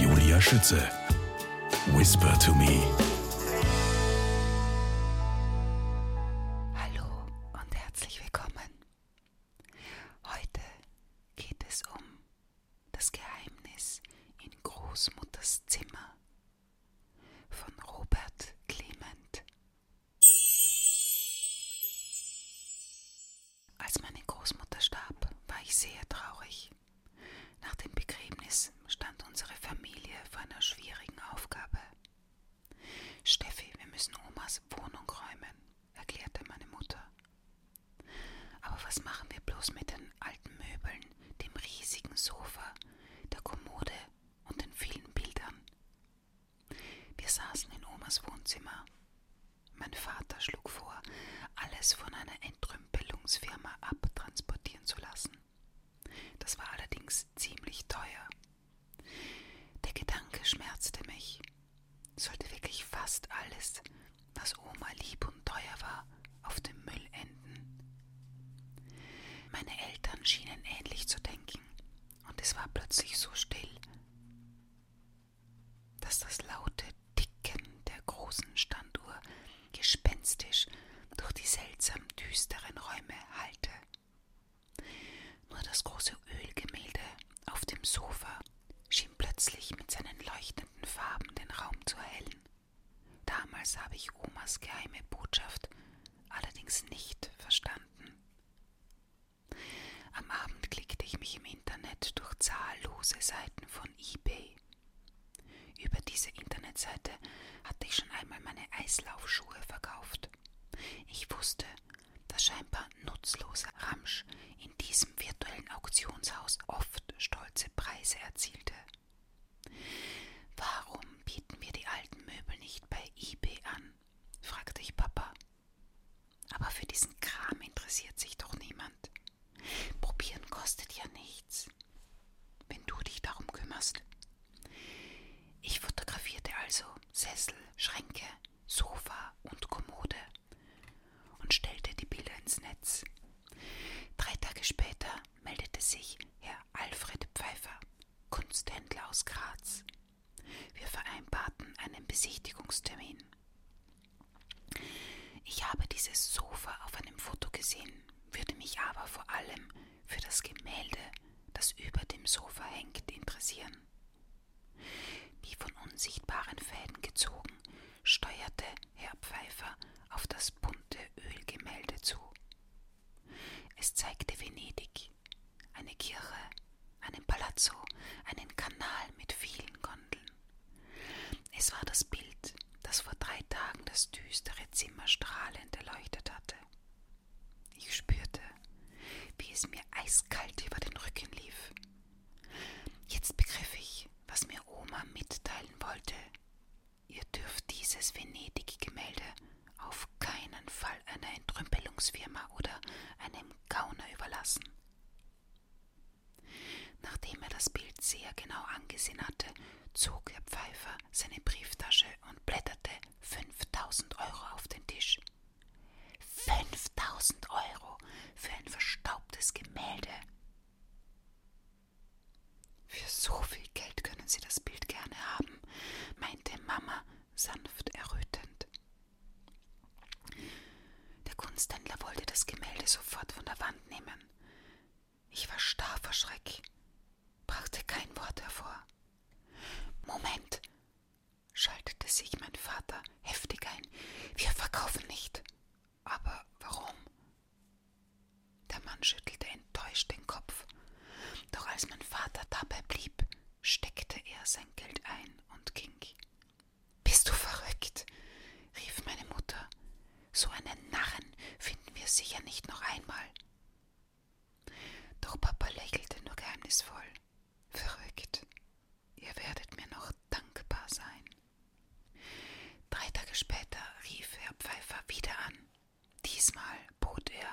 Julia Schütze. Whisper to me. Hallo und herzlich willkommen. Heute geht es um das Geheimnis in Großmutters Zimmer von Robert Clement. Als meine Großmutter starb, war ich sehr traurig. Nach dem Begräbnis stand unsere Familie vor einer schwierigen Aufgabe. Steffi, wir müssen Omas Wohnung räumen, erklärte meine Mutter. Aber was machen wir bloß mit den alten Möbeln, dem riesigen Sofa, der Kommode und den vielen Bildern? Wir saßen in Omas Wohnzimmer. Mein Vater schlug vor, alles von einer Entrümpelungsfirma abtransportieren zu lassen. Das war allerdings ziemlich teuer. Der Gedanke schmerzte mich. Sollte wirklich fast alles, was Oma lieb und teuer war, auf dem Müll enden. Meine Eltern schienen ähnlich zu denken, und es war plötzlich so still dass das laute Ticken der großen Standuhr gespenstisch durch die seltsam düsteren Räume hallte. Nur das große Ölgemälde auf dem Sofa schien plötzlich mit seinen leuchtenden Farben den Raum zu erhellen. Damals habe ich Omas geheime Botschaft allerdings nicht verstanden. Am Abend klickte ich mich im Internet durch zahllose Seiten von eBay. Über diese Internetseite hatte ich schon einmal meine Eislaufschuhe verkauft. Ich wusste, dass scheinbar nutzloser Ramsch in diesem virtuellen Auktionshaus oft stolze Preise erzielte. Warum bieten wir die alten Möbel nicht bei eBay an? fragte ich Papa. Aber für diesen Kram interessiert sich doch niemand. Probieren kostet ja nichts, wenn du dich darum kümmerst. Ich fotografierte also Sessel, Schränke, Sofa und Kommode und stellte die Bilder ins Netz. Drei Tage später meldete sich Herr Alfred Pfeiffer, Kunsthändler aus Graz, wir vereinbarten einen Besichtigungstermin. Ich habe dieses Sofa auf einem Foto gesehen, würde mich aber vor allem für das Gemälde, das über dem Sofa hängt, interessieren. Wie von unsichtbaren Fäden gezogen, steuerte Herr Pfeiffer auf das bunte Ölgemälde zu. Es zeigte Venedig, Schönes. Eine Kirche, einen Palazzo, einen Kanal mit vielen Gondeln. Es war das Bild, das vor drei Tagen das düstere Zimmer strahlend erleuchtet hatte. Ich spürte, wie es mir eiskalt über den Rücken lief. Jetzt begriff ich, was mir Oma mitteilen wollte. Ihr dürft dieses Venedig-Gemälde auf keinen Fall einer Entrümpelungsfirma oder einem dem Gauner überlassen. Nachdem er das Bild sehr genau angesehen hatte, zog der Pfeifer seine Brieftasche und blätterte 5000 Euro auf den Tisch. 5000 Euro für ein verstaubtes Gemälde. Für so viel Geld können Sie das Bild gerne haben, meinte Mama sanft errötend. Der Kunsthändler wollte das Gemälde sofort von der Wand nehmen. Ich war starr vor Schreck, brachte kein Wort hervor. Moment, schaltete sich mein Vater heftig ein. Wir verkaufen nicht. Aber warum? Der Mann schüttelte enttäuscht den Kopf. Doch als mein Vater dabei blieb, steckte er sein Geld ein und ging. Bist du verrückt? rief meine Mutter. So einen Narren finden wir sicher nicht noch einmal. Doch Papa lächelte nur geheimnisvoll. Verrückt. Ihr werdet mir noch dankbar sein. Drei Tage später rief Herr Pfeiffer wieder an. Diesmal bot er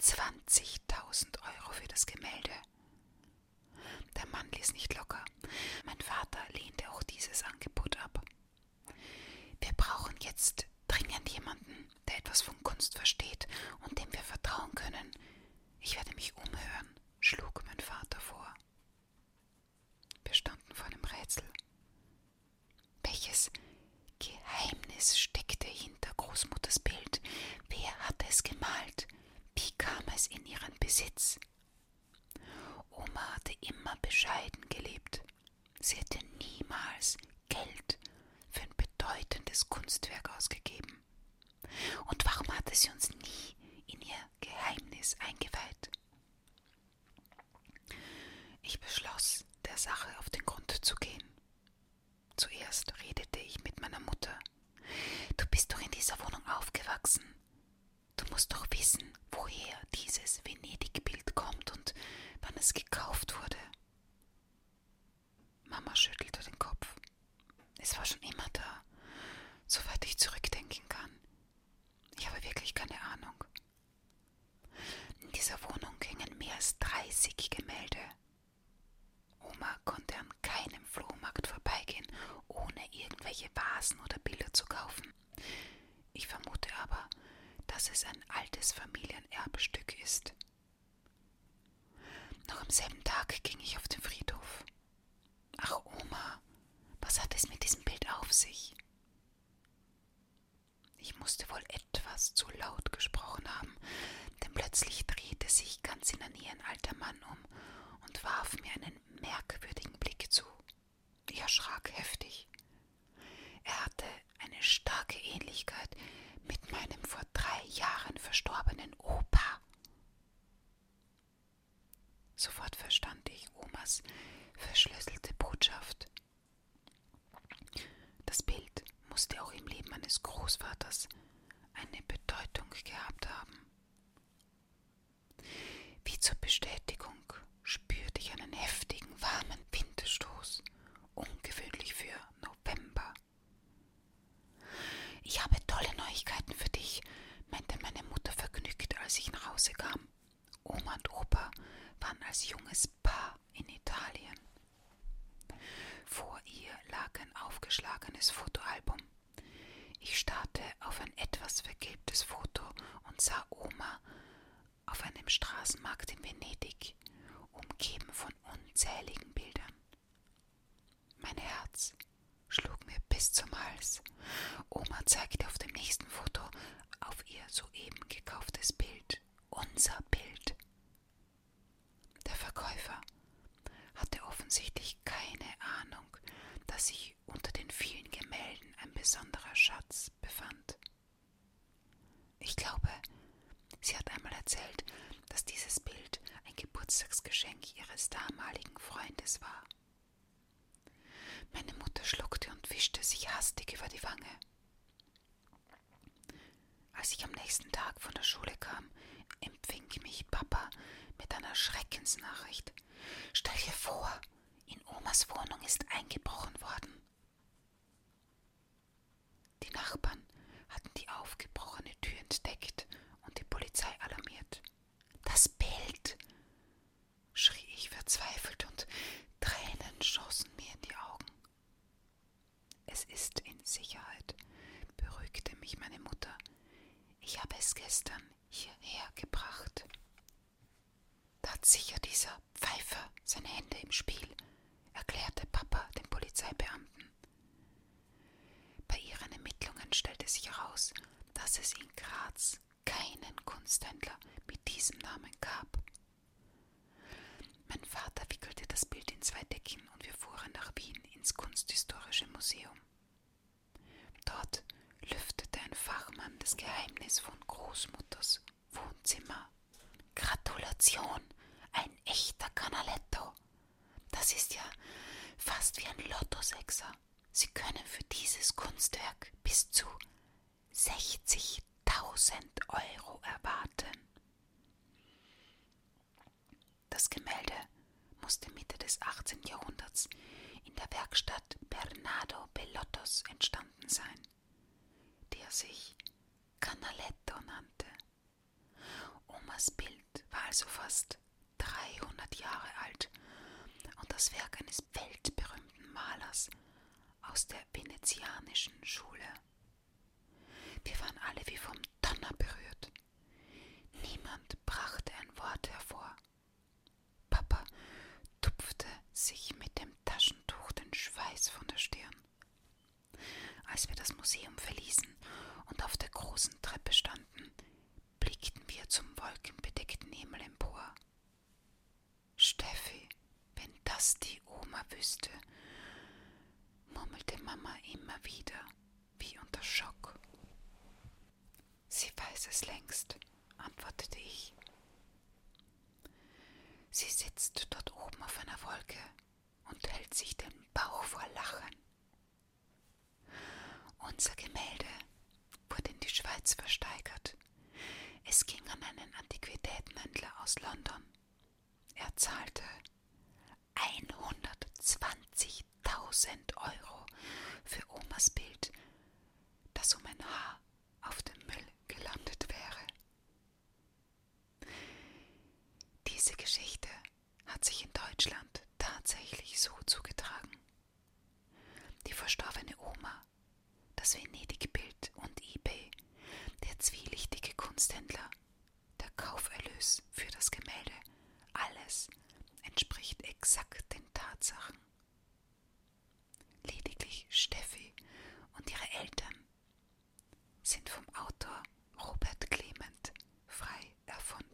20.000 Euro für das Gemälde. Der Mann ließ nicht locker. Mein Vater lehnte auch dieses Angebot ab. Wir brauchen jetzt dringend jemanden, der etwas von Kunst versteht und dem wir vertrauen können. Ich werde mich umhören, schlug mein Vater vor. Wir standen vor einem Rätsel. Welches Geheimnis steckte hinter Großmutters Bild. Wer hatte es gemalt? Wie kam es in ihren Besitz? Oma hatte immer bescheiden gelebt. Sie hätte niemals Geld für ein bedeutendes Kunstwerk ausgegeben. Und warum hatte sie uns nie in ihr Geheimnis eingeweiht? Ich beschloss, der Sache auf den Grund zu gehen. Zuerst redete ich mit meiner Mutter. Du bist doch in dieser Wohnung aufgewachsen. Du musst doch wissen, woher dieses Venedig-Bild kommt und wann es gekauft wurde. Mama schüttelte den Kopf. Es war schon immer da, soweit ich zurückdenken kann. Ich habe wirklich keine Ahnung. In dieser Wohnung hingen mehr als 30 Gemälde. Oma konnte an keinem Flohmarkt vorbeigehen, ohne irgendwelche Vasen oder Bilder zu kaufen. Ich vermute aber, dass es ein altes Familienerbstück ist. Noch am selben Tag ging ich auf den Friedhof. Ach Oma, was hat es mit diesem Bild auf sich? Ich musste wohl etwas zu laut gesprochen haben, denn plötzlich drehte sich ganz in der Nähe ein alter Mann um und warf mir einen merkwürdigen Blick zu. Ich erschrak heftig. Er hatte eine starke Ähnlichkeit mit meinem vor drei Jahren verstorbenen Opa. Sofort verstand ich Omas verschlüsselte Botschaft. Das Bild musste auch im Leben meines Großvaters eine Bedeutung gehabt haben. Wie zur Bestätigung spürte ich einen heftigen, warmen Windstoß, ungewöhnlich für November. Ich habe tolle Neuigkeiten für dich, meinte meine Mutter vergnügt, als ich nach Hause kam. Oma und Opa waren als junges Paar in Italien. Vor ihr lag ein aufgeschlagenes Fotoalbum. Ich starrte auf ein etwas vergilbtes Foto und sah Oma auf einem Straßenmarkt in Venedig, umgeben von unzähligen Bildern. Mein Herz schlug mir bis zum Hals. Oma zeigte auf dem nächsten Foto auf ihr soeben gekauftes Bild unser Bild. Der Verkäufer hatte offensichtlich keine Ahnung, dass sich unter den vielen Gemälden ein besonderer Schatz befand. Ich glaube, sie hat einmal erzählt, dass dieses Bild ein Geburtstagsgeschenk ihres damaligen Freundes war. Meine Mutter schluckte und wischte sich hastig über die Wange. Als ich am nächsten Tag von der Schule kam, empfing mich Papa mit einer Schreckensnachricht. Stell dir vor, in Omas Wohnung ist eingebrochen worden. Die Nachbarn hatten die aufgebrochene Tür entdeckt und die Polizei alarmiert. Das Bild, schrie ich verzweifelt und Tränen schossen mir in die Augen. Es ist in Sicherheit, beruhigte mich meine Mutter. Ich habe es gestern hierher gebracht. Da hat sicher dieser Pfeifer seine Hände im Spiel, erklärte Papa dem Polizeibeamten. Bei ihren Ermittlungen stellte sich heraus, dass es in Graz keinen Kunsthändler mit diesem Namen gab. Mein Vater wickelte das Bild in zwei Decken und wir fuhren nach Wien ins Kunsthistorische Museum. Dort lüftete ein Fachmann das Geheimnis von Großmutters Wohnzimmer. Gratulation, ein echter Canaletto. Das ist ja fast wie ein Lottosechser. Sie können für dieses Kunstwerk bis zu 60.000 Euro erwarten. Das Gemälde musste Mitte des 18. Jahrhunderts in der Werkstatt Bernardo Bellottos entstanden sein, der sich Canaletto nannte. Omas Bild war also fast 300 Jahre alt und das Werk eines weltberühmten Malers aus der venezianischen Schule. Wir waren alle wie vom Donner berührt. Niemand brachte ein Wort hervor. Papa tupfte sich mit dem Taschentuch den Schweiß von der Stirn. Als wir das Museum verließen und auf der großen Treppe standen, blickten wir zum wolkenbedeckten Himmel empor. Steffi, wenn das die Oma wüsste, murmelte Mama immer wieder, wie unter Schock. Sie weiß es längst, antwortete ich. Sie sitzt dort oben auf einer Wolke und hält sich den Bauch vor Lachen. Unser Gemälde wurde in die Schweiz versteigert. Es ging an einen Antiquitätenhändler aus London. Er zahlte 120.000 Euro für Omas Bild, das um ein Haar auf dem Müll gelandet wäre. Diese Geschichte hat sich in Deutschland tatsächlich so zugetragen. Die verstorbene Oma, das Venedig-Bild und eBay, der zwielichtige Kunsthändler, der Kauferlös für das Gemälde, alles entspricht exakt den Tatsachen. Lediglich Steffi und ihre Eltern sind vom Autor Robert Clement frei erfunden.